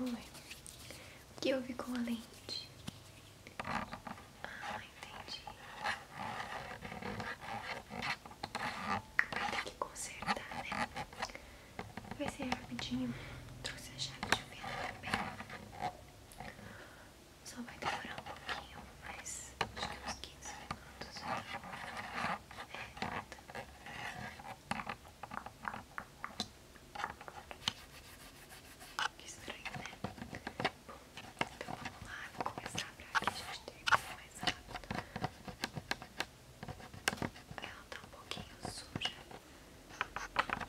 Oi, o que houve com a lente? Ah, entendi. Vai ter que consertar, né? Vai ser rapidinho. Trouxe a chave de fenda também. Só vai demorar um pouquinho, mas uns 15 minutos. Então. É, tá. Que estranho, né? Bom, então vamos lá, vou começar pra que a gente termine mais rápido. Ela tá um pouquinho suja. É,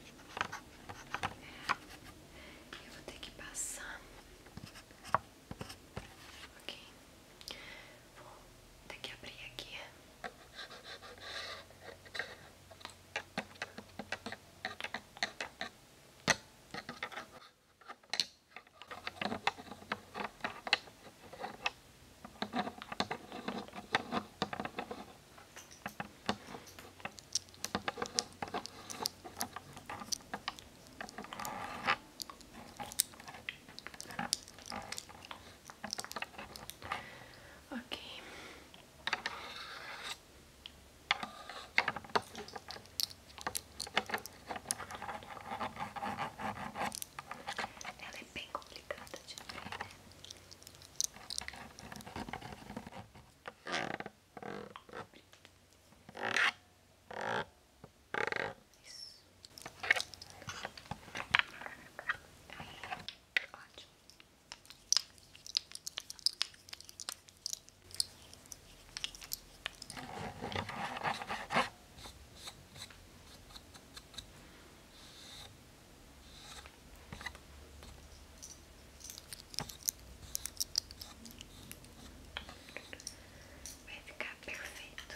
eu vou ter que passar. Ok? Vou ter que abrir aqui. Ok. Ela é bem complicada de ver, né? Ótimo. Vai ficar perfeito.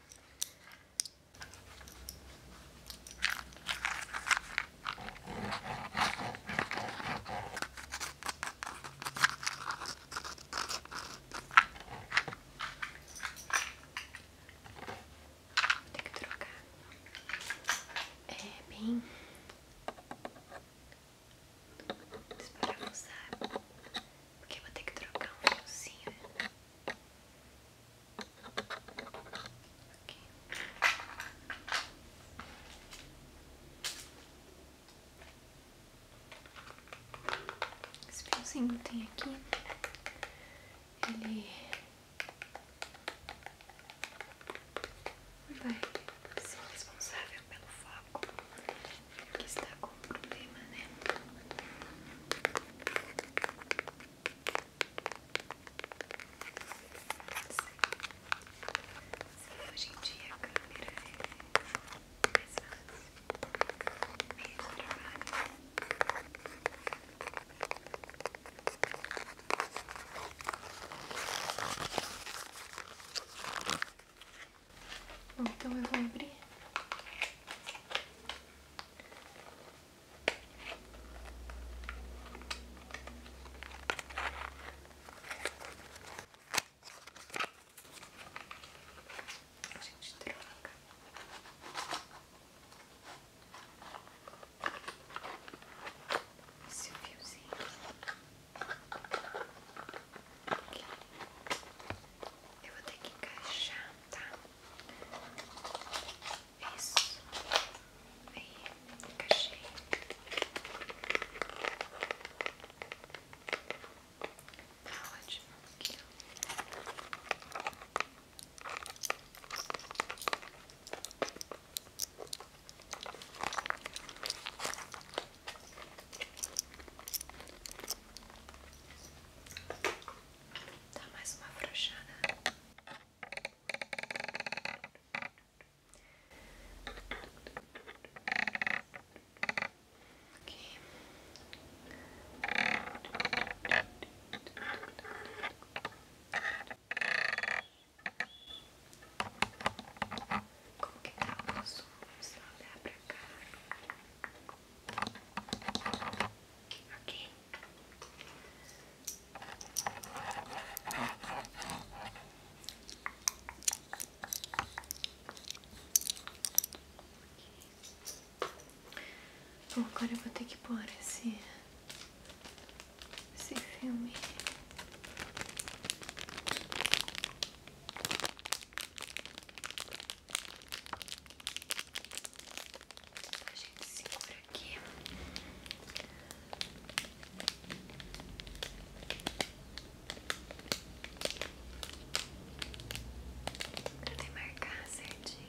Vou ter que trocar. É bem desparafusar porque vou ter que trocar um fiozinho. Esse fiozinho tem aqui, ele vai ser responsável pelo foco que está com problema, né? Sim, hoje em dia a câmera é mais então eu vou abrir. gente troca. Esse eu vou ter que encaixar, tá? Isso. Aí, encaixei. Tá ótimo. Aqui, Dá mais uma afrouxada. Aqui. Tá como que tá o nosso Vamos lá olhar pra cá Ok Bom, agora eu vou ter que pôr esse, esse filme a gente segura aqui. Pra demarcar certinho.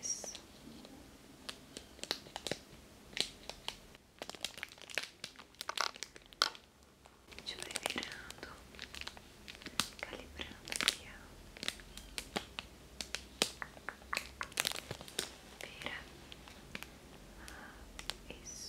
Isso. A gente vai virando, calibrando aqui, ó. Vira. Ah, isso.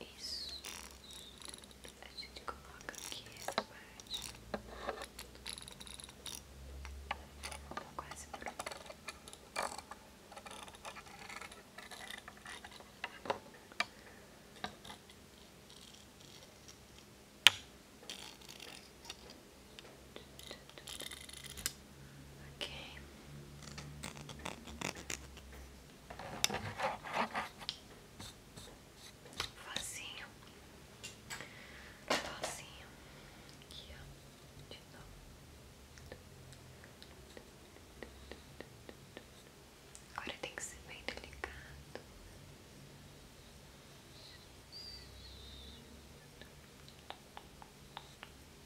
Isso. A gente coloca aqui essa parte. Tá quase pronto. Ok. Facinho, facinho, aqui ó, de novo. Agora tem que ser bem delicado.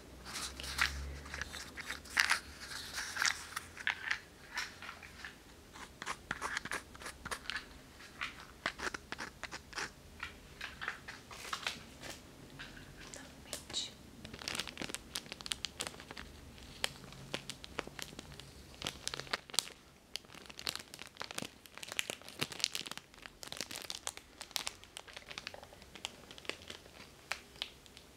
Novamente.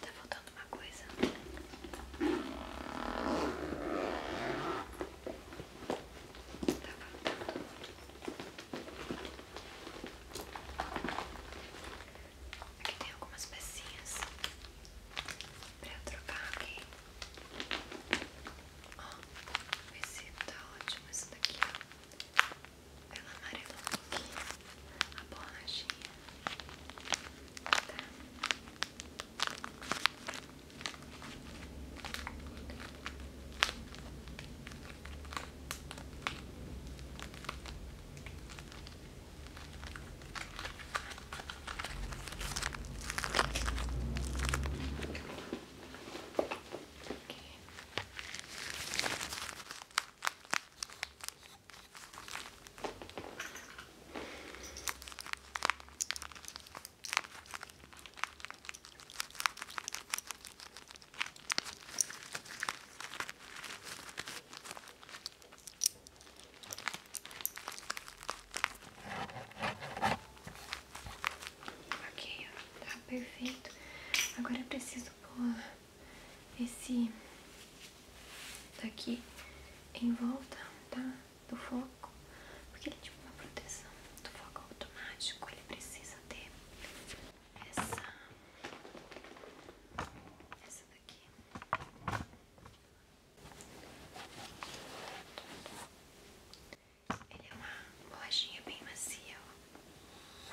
Tá faltando uma coisa. Tá faltando. Aqui tem algumas pecinhas pra eu trocar aqui. Ó, esse tá ótimo, esse daqui, ó. Ela amarela um a borrachinha. Tá? Ok, tá perfeito. Agora eu preciso pôr esse daqui em volta, tá? Do foco, porque ele é tipo uma proteção do foco automático, ele precisa ter essa, essa daqui. Ele é uma bolachinha bem macia, ó.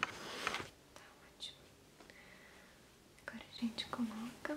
Tá ótimo. Agora a gente coloca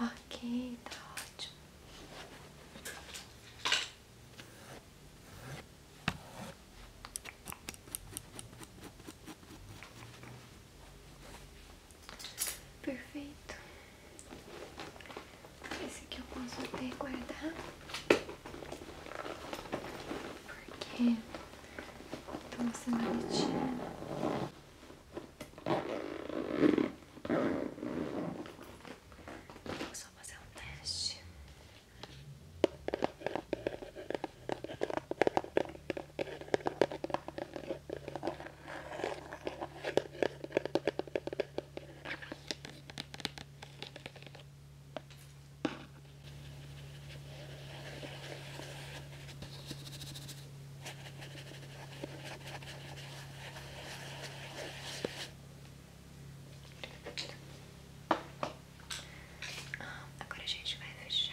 Ok, tá ótimo. Perfeito. Esse aqui eu posso até guardar. Porque então você não Vou só fazer um teste. Tá ah, agora a gente vai deixar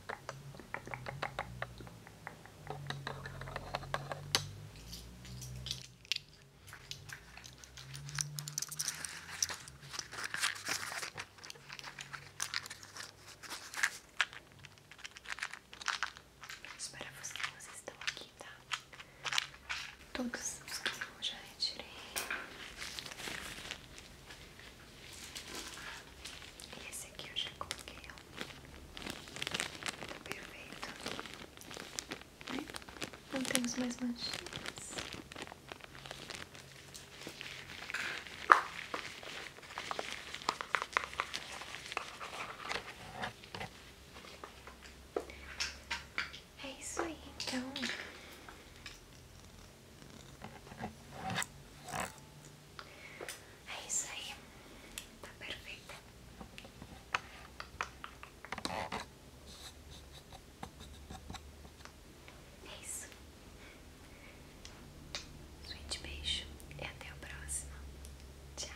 Espero vocês estão aqui, tá? Todos que já retirei esse aqui eu já coloquei, ó. Tá perfeito. Né? Não temos mais manchinhas. É isso aí, então. É isso aí, tá perfeita. É isso. Suíte beijo e até o próximo. Tchau.